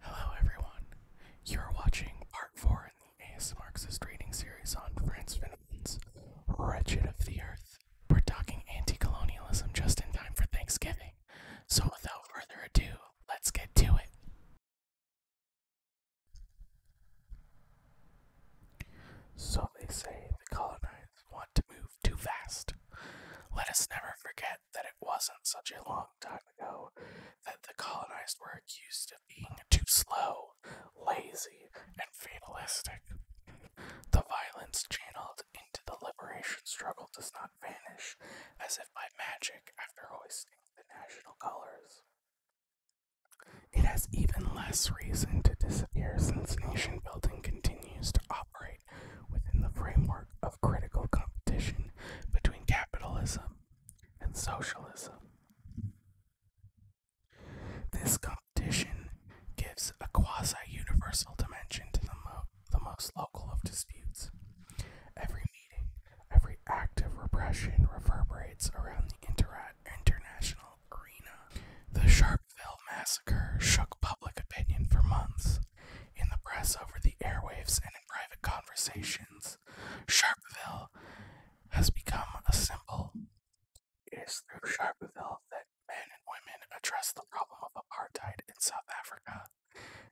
Hello, everyone. You are watching part four in the AS ASMarxist reading series on Franz Finnegan's Wretched of the Earth. We're talking anti colonialism just in time for Thanksgiving. So, without further ado, let's get to it. So, they say the colonizers want to move too fast. Let us never forget that it wasn't such a long time ago that the colonized were accused of being too slow, lazy, and fatalistic. The violence channeled into the liberation struggle does not vanish as if by magic after hoisting the national colors. It has even less reason to disappear since nation building continues to operate within the framework of critical competition between capitalism and socialism. This competition gives a quasi universal dimension to the mode the most local of disputes. Every meeting, every act of repression reverberates around the international arena. The Sharpeville massacre shook public opinion for months. In the press, over the airwaves, and in private conversations, Sharpeville has become a symbol. It is through Sharpeville that men and women address the problem of apartheid in South Africa,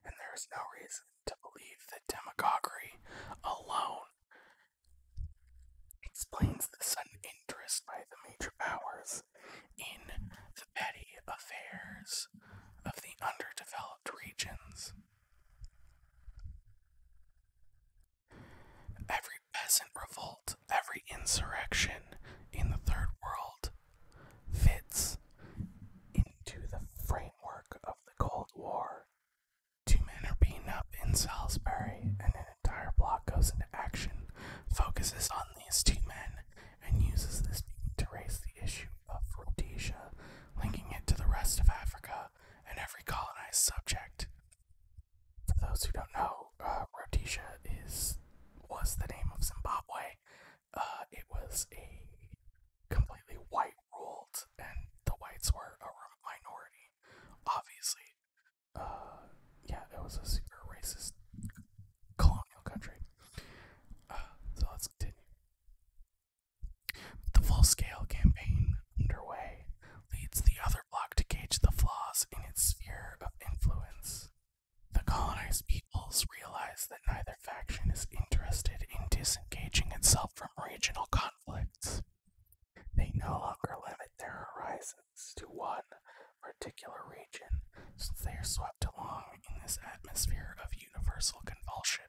and there is no reason to believe that demagoguery alone explains the sudden interest by the major powers in the petty affairs of the underdeveloped regions. Every peasant revolt, every insurrection in the Third World fits into the framework of the Cold War. Two men are beaten up in Salisbury, and an entire block goes into action, focuses on these two men, and uses this to raise the issue of Rhodesia, linking it to the rest of Africa and every colonized subject. For those who don't know, uh, Rhodesia is was the name of Zimbabwe uh, it was a completely white ruled, and the whites were a minority, obviously. Uh, yeah, it was a super racist colonial country. Uh, so let's continue. The full scale campaign underway leads the other bloc to gauge the flaws in its sphere of influence. The colonized peoples realize that neither faction is interested in disengaging itself from regional conflicts. They no longer limit their horizons to one particular region, since they are swept along in this atmosphere of universal convulsion.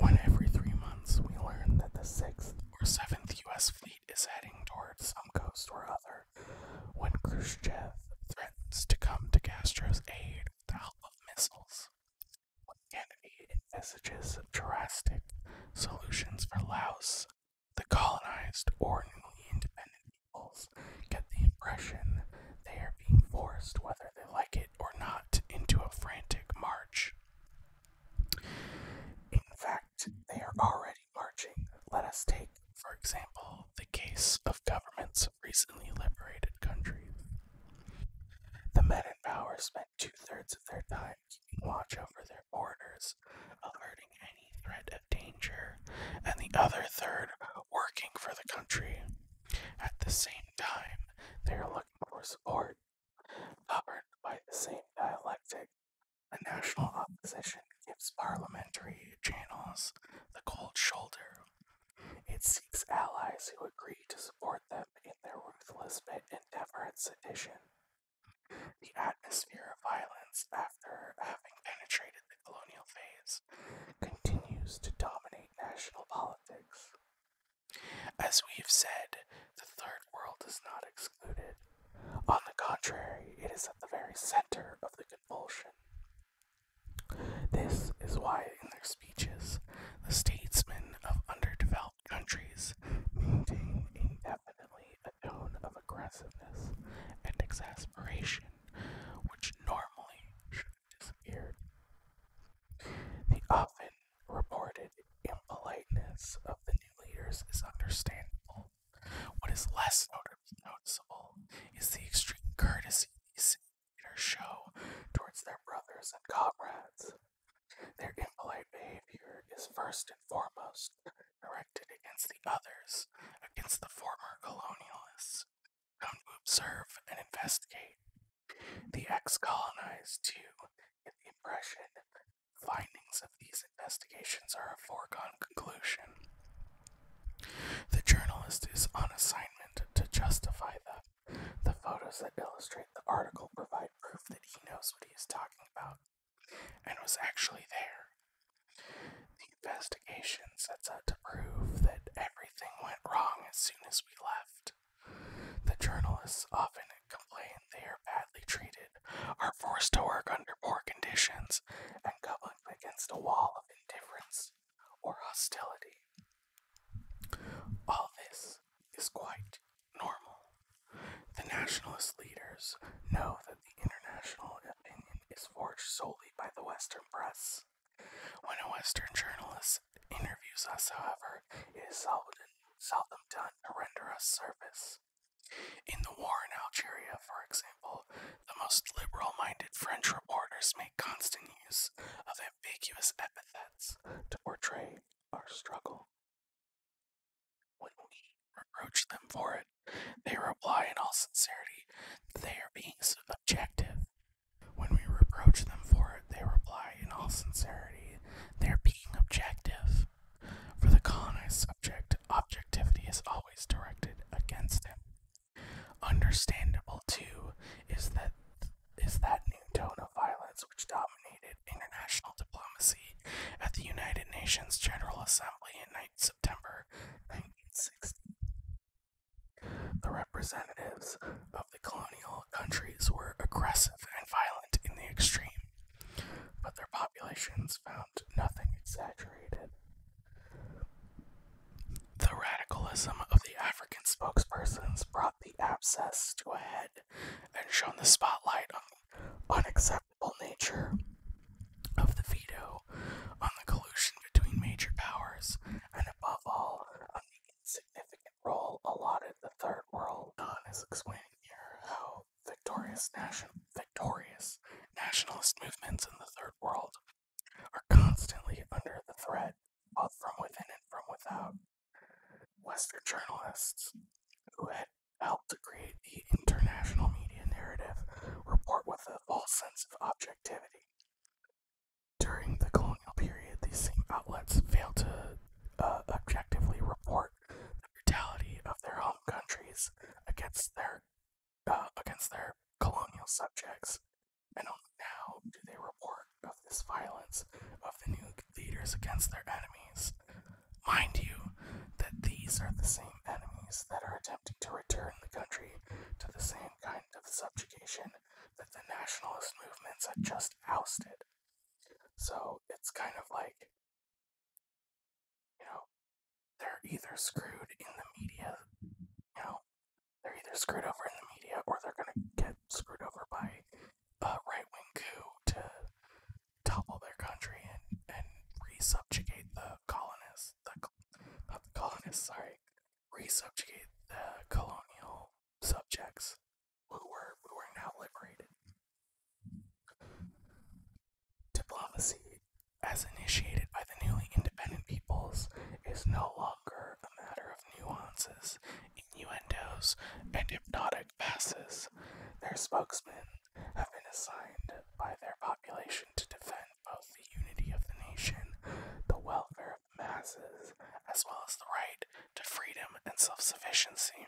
When every three months we learn that the 6th or 7th U.S. fleet is heading towards some coast or other, when Khrushchev threatens to come to Castro's aid with the help of missiles. When Kennedy envisages drastic solutions for Laos, the colonized or newly independent peoples get the impression they are being forced, whether they like it or not, into a frantic march. In fact, they are already marching. Let us take, for example, the case of governments of recently liberated countries. The men in power spent two thirds of their time keeping watch over their borders, alerting any threat of danger, and the other third working for the country. At the same time, they are looking for support, governed by the same dialectic. A national opposition its parliamentary channels the cold shoulder. It seeks allies who agree to support them in their ruthless endeavor at sedition. The atmosphere of violence, after having penetrated the colonial phase, continues to dominate national politics. As we have said, the Third World is not excluded. On the contrary, it is at the very center of the convulsion. This is why, in their speeches, the statesmen of underdeveloped countries maintain indefinitely a tone of aggressiveness and exasperation which normally should have disappeared. The often reported impoliteness of the new leaders is understandable, what is less noticeable is the extreme courtesy these leaders show towards their brothers and comrades. Their impolite behavior is first and foremost directed against the others, against the former colonialists, come to observe and investigate. The ex colonized, too, get the impression findings of these investigations are a foregone conclusion. The journalist is on assignment to justify them. The photos that illustrate the article provide proof that he knows what he is talking about and was actually there. The investigation sets out to prove that everything went wrong as soon as we left. The journalists often complain they are badly treated, are forced to work under poor conditions, and come up against a wall of indifference or hostility. All this is quite normal. The nationalist leaders know that the international opinion is forged solely by the Western press. When a Western journalist interviews us, however, it is seldom, seldom done to render us service. In the war in Algeria, for example, the most liberal minded French orders make constant use of ambiguous epithets to portray our struggle. When we reproach them for it, they reply in all sincerity that they are being objective. When we reproach them for it, they reply in all sincerity they are being objective. For the colonist object, objectivity is always directed against him. Understandable too is that is that new tone of violence which dominated international diplomacy at the United Nations General Assembly in 9 September 1960. The representatives of the colonial countries were aggressive and violent in the extreme, but their populations found nothing exaggerated the radicalism of the African spokespersons brought the abscess to a head and shone the spotlight on the unacceptable nature of the veto, on the collusion between major powers, and above all, on the insignificant role allotted the Third World. On is explaining here how victorious, nation- victorious nationalist movements in the Third World are constantly under the threat, both from within and from without. Western journalists who had helped to create the international media narrative report with a false sense of objectivity. During the colonial period, these same outlets failed to uh, objectively report the brutality of their home countries against their uh, against their colonial subjects, and only now do they report of this violence of the new leaders against their enemies. Mind you, that these are the same enemies that are attempting to return the country to the same kind of subjugation that the nationalist movements had just ousted. So it's kind of like, you know, they're either screwed in the media, you know, they're either screwed over in the media or they're gonna get screwed over by a right wing coup to topple their country and, and resubjugate the colonists. The, colonists, sorry. Resubjugate the colonial subjects who were, who were now liberated. Diplomacy as initiated by the newly independent peoples, is no longer a matter of nuances, innuendos, and hypnotic passes. Their spokesmen have been assigned by their population to defend both the unity of the nation, the welfare of masses, as well as the right to freedom and self sufficiency.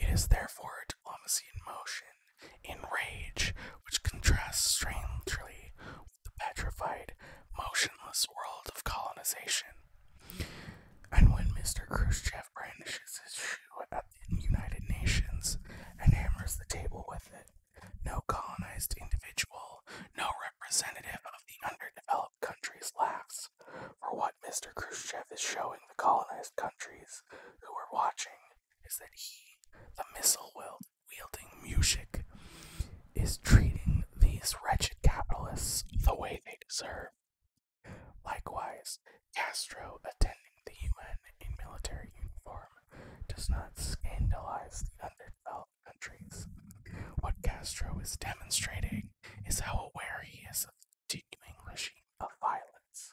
It is therefore a diplomacy in motion in rage, which contrasts strangely with the petrified, motionless world of colonization. And when Mr. Khrushchev brandishes his shoe at the United Nations and hammers the table with it, no colonized individual, no representative of the underdeveloped countries laughs. For what Mr. Khrushchev is showing the colonized countries who are watching is that he, the missile willed wielding music is treating these wretched capitalists the way they deserve. Likewise, Castro attending the UN in military uniform does not scandalize the underdeveloped countries. What Castro is demonstrating is how aware he is of the continuing regime of violence.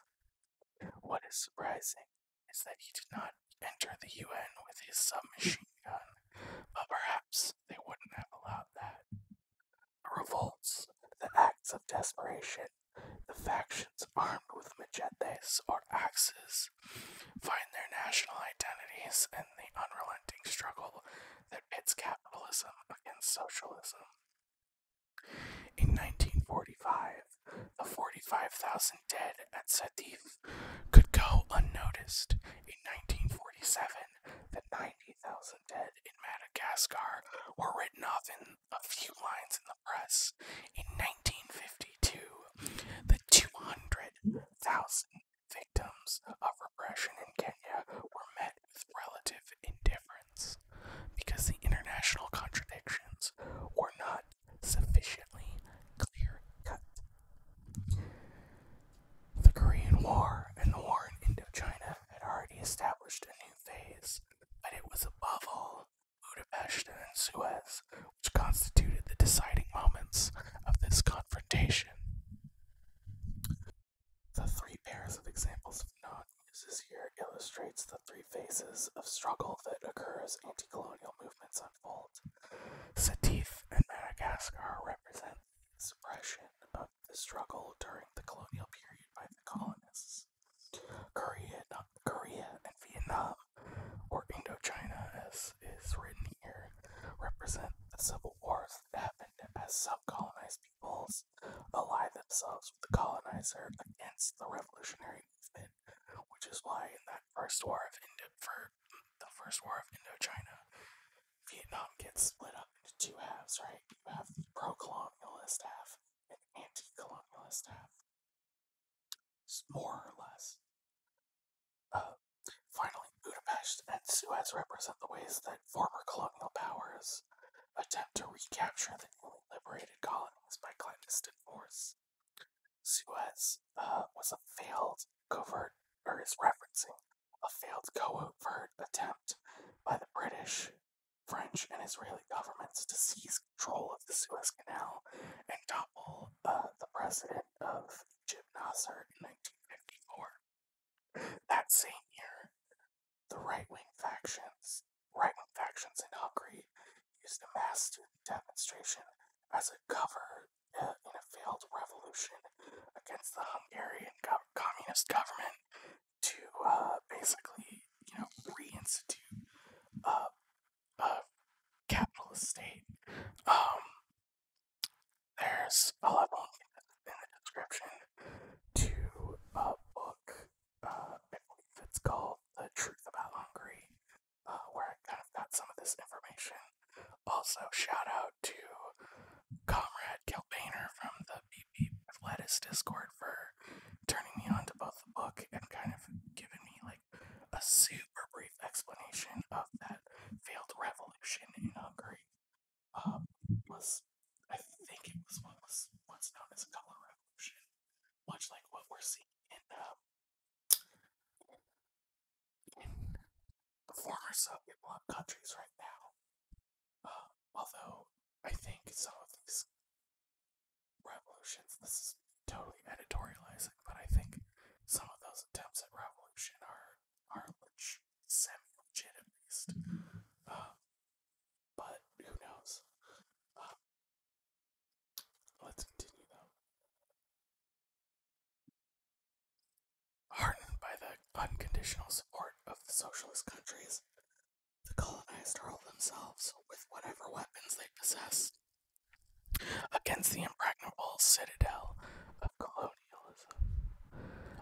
What is surprising is that he did not enter the UN with his submachine gun, but perhaps they wouldn't have allowed that. revolts, the acts of desperation, the factions armed with machetes or axes find their national identities in the unrelenting struggle that pits capitalism against socialism. In 1945, the 45,000 dead at Sadiq could go unnoticed. In 1947, the 90,000 dead in Madagascar were written off in a few lines in the press. In 1952, the 200,000 victims of repression in Kenya were met with relative indifference because the international contradictions were not sufficiently clear cut. The Korean War and the war in Indochina had already established a new phase, but it was above all Budapest and Suez which constituted the deciding moments of this confrontation. The three pairs of examples of non here illustrates the three phases of struggle that occur as anti-colonial movements events unfold. and Madagascar represent the suppression of the struggle during the colonial period by the colonists. Korea, Korea and Vietnam, or Indochina as is written here, represent the civil wars that happened as sub-colonized peoples ally themselves with the colonizer against the revolutionary movement which is why in that first war of Indo for the first war of Indochina, Vietnam gets split up into two halves, right? You have the pro-colonialist half and anti-colonialist half, more or less. Uh, finally, Budapest and Suez represent the ways that former colonial powers attempt to recapture the newly liberated colonies by clandestine force. Suez uh, was a failed covert, or is referencing a failed covert attempt by the British, French, and Israeli governments to seize control of the Suez Canal and topple uh, the president of Egypt, Nasser, in 1954. That same year, the right-wing factions, right-wing factions in Hungary, used a mass student demonstration as a cover uh, in a failed revolution against the Hungarian communist government to uh, basically, you know, reinstitute uh, a capitalist state. Um, there's a link in the description to a book. Uh, it's called "The Truth About Hungary," Uh, where I kind of got some of this information. Also, shout out to Comrade Kelbaner from the BB Athletics Discord for turning me on to both the book and kind of giving me like a super brief explanation of that failed revolution in Hungary. Um, was I think it was what was what's known as a color revolution, much like what we're seeing in um, the former Soviet bloc countries right now. Um, although I think some of these revolutions, this is totally editorializing, but I think some of those attempts at revolution are are leg- semi-legit at least. Um, but who knows? Um, Let's continue though. Heartened by the unconditional support of the socialist countries, the colonized hurled themselves with whatever weapons they possessed against the impregnable citadel of colonialism.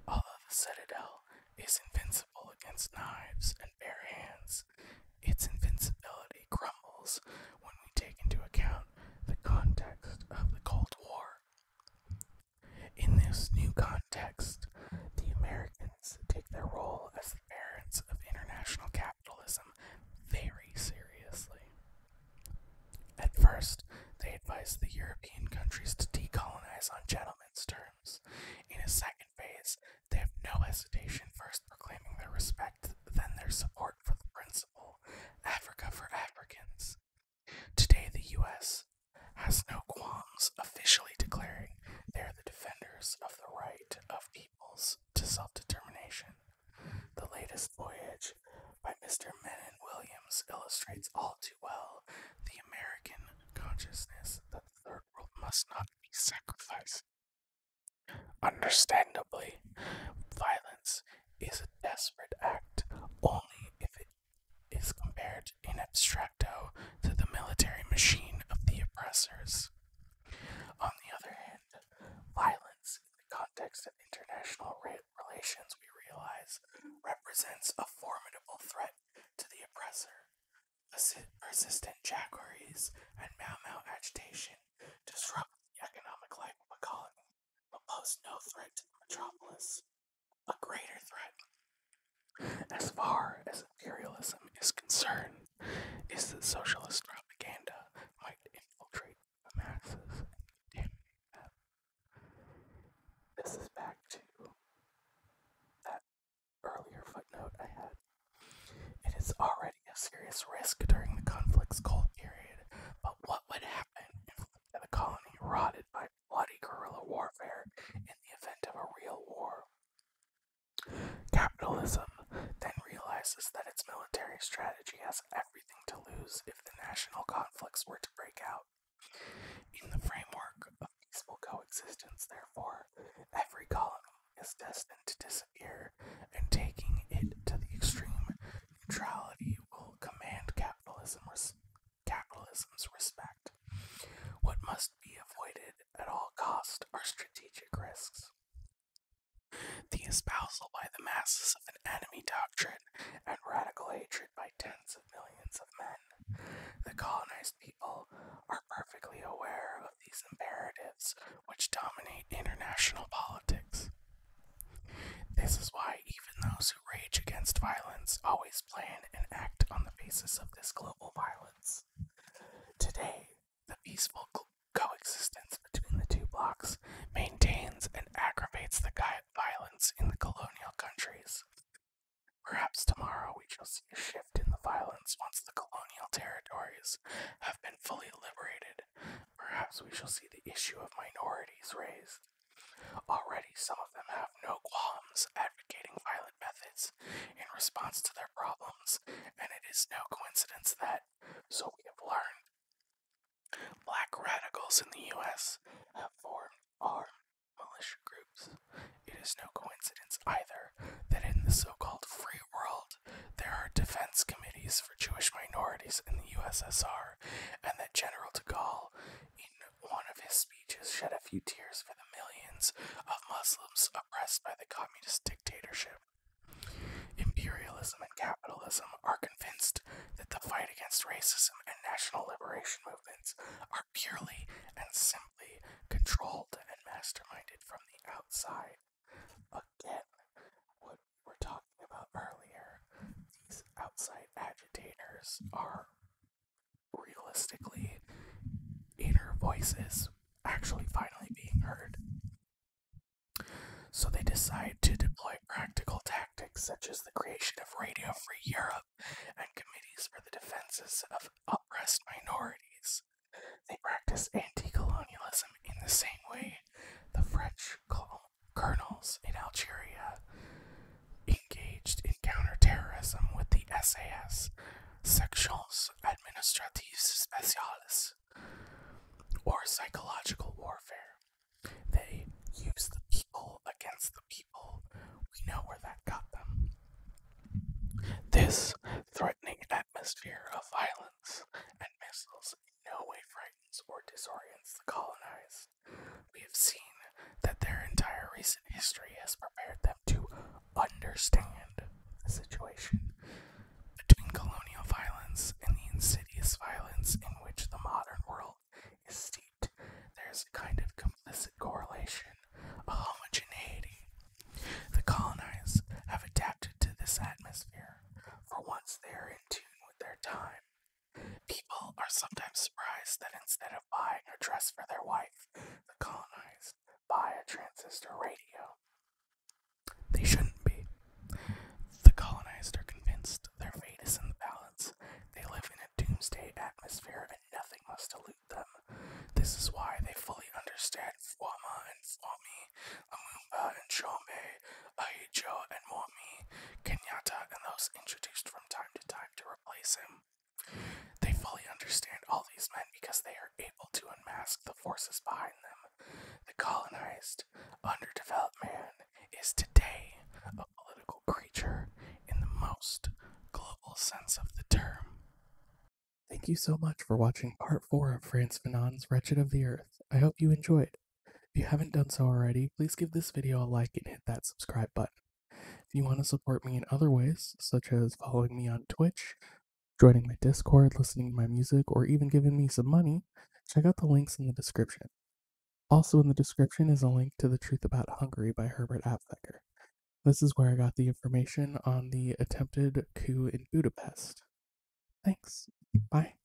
Although the citadel is invincible against knives and bare hands, its invincibility crumbles when we take into account the context of the Cold War. In this new context, the Americans take their role as the parents of international capitalism very seriously. At first, they advise the European countries to decolonize on gentlemen's terms. In a second phase, they have no hesitation first proclaiming their respect, then their support for the principle. Africa for Africans. Today, the U.S. has no qualms officially declaring they are the defenders of the right of peoples to self determination. The latest voyage by Mr. Menon Williams illustrates all too well the American consciousness that the Third World must not be sacrificed Understandably, violence is a desperate act only if it is compared in abstracto to the military machine of the oppressors. On the other hand, violence in the context of international relations, we realize, represents a formidable threat to the oppressor. Persistent Jaguaries and Mau Mau agitation Disrupt the economic life of a colony, but pose no threat to the metropolis. A greater threat, as far as imperialism is concerned, is that socialist propaganda might infiltrate the masses This is back to that earlier footnote I had. It is already spreading of serious risk during the conflict's cold period. But what would happen if the colony rotted by bloody guerrilla warfare in the event of a real war? Capitalism then realizes that its military strategy has everything to lose if the national conflicts were to break out. In the framework of peaceful coexistence, therefore, every colony is destined to disappear and taking it to the extreme, neutrality will command capitalism's respect. What must be avoided at all costs are strategic risks. The espousal by the masses of an enemy doctrine and radical hatred by tens of millions of men. The colonized people are perfectly aware of these imperatives which dominate international politics. This is why even those who rage against violence always plan and act on the basis of this global violence. Today, the peaceful coexistence between the two blocks maintains and aggravates the violence in the colonial countries. Perhaps tomorrow we shall see a shift in the violence once the colonial territories have been fully liberated Perhaps we shall see the issue of minorities raised. Already, some of them have no qualms advocating violent methods in response to their problems, and it is no coincidence that, so we have learned, black radicals in the U.S. have formed armed militia groups. It is no coincidence either that in the so called free world there are defense committees Jewish minorities in the USSR, and that General de Gaulle, in one of his speeches, shed a few tears for the millions of Muslims oppressed by the communist dictatorship. Imperialism and capitalism are convinced that the fight against racism and national liberation movements are purely and simply controlled and masterminded from the outside Again, what we were talking about earlier, these outside agitators are realistically inner voices actually finally being heard. So they decide to deploy practical tactics such as the creation of Radio Free Europe and committees for the defenses of oppressed minorities. They practice anti colonialism in the same way the French colonial colonels in Algeria engaged in counterterrorism with the SAS, Sections Administratives Speciales, or psychological warfare. They use the people against the people. We know where that got them. This threatening atmosphere of violence and missiles no way frightens or disorients the colonized. We have seen that their entire recent history has prepared them to understand the situation between colonial violence and the insidious violence in which the modern world is steeped. There's a kind of complicit correlation, a homogeneity. The colonized have adapted to this atmosphere, for once they are in tune with their time People are sometimes surprised that instead of buying a dress for their wife, the colonized buy a transistor radio. They shouldn't be. The colonized are convinced their fate is in the balance. They live in a doomsday atmosphere and nothing must elude them. This is why they fully understand Fuama and Fuami, Lumumba and Chombe, Aijo and Momi Kenyatta and those introduced from time to time to replace him. They fully understand all these men because they are able to unmask the forces behind them. The colonized, underdeveloped man is today a political creature in the most global sense of the term. Thank you so much for watching part 4 of France Fanon's Wretched of the Earth. I hope you enjoyed. If you haven't done so already, please give this video a like and hit that subscribe button. If you want to support me in other ways, such as following me on Twitch, joining my Discord, listening to my music, or even giving me some money, check out the links in the description. Also in the description is a link to The Truth About Hungary by Herbert Aptheker. This is where I got the information on the attempted coup in Budapest. Thanks. Bye.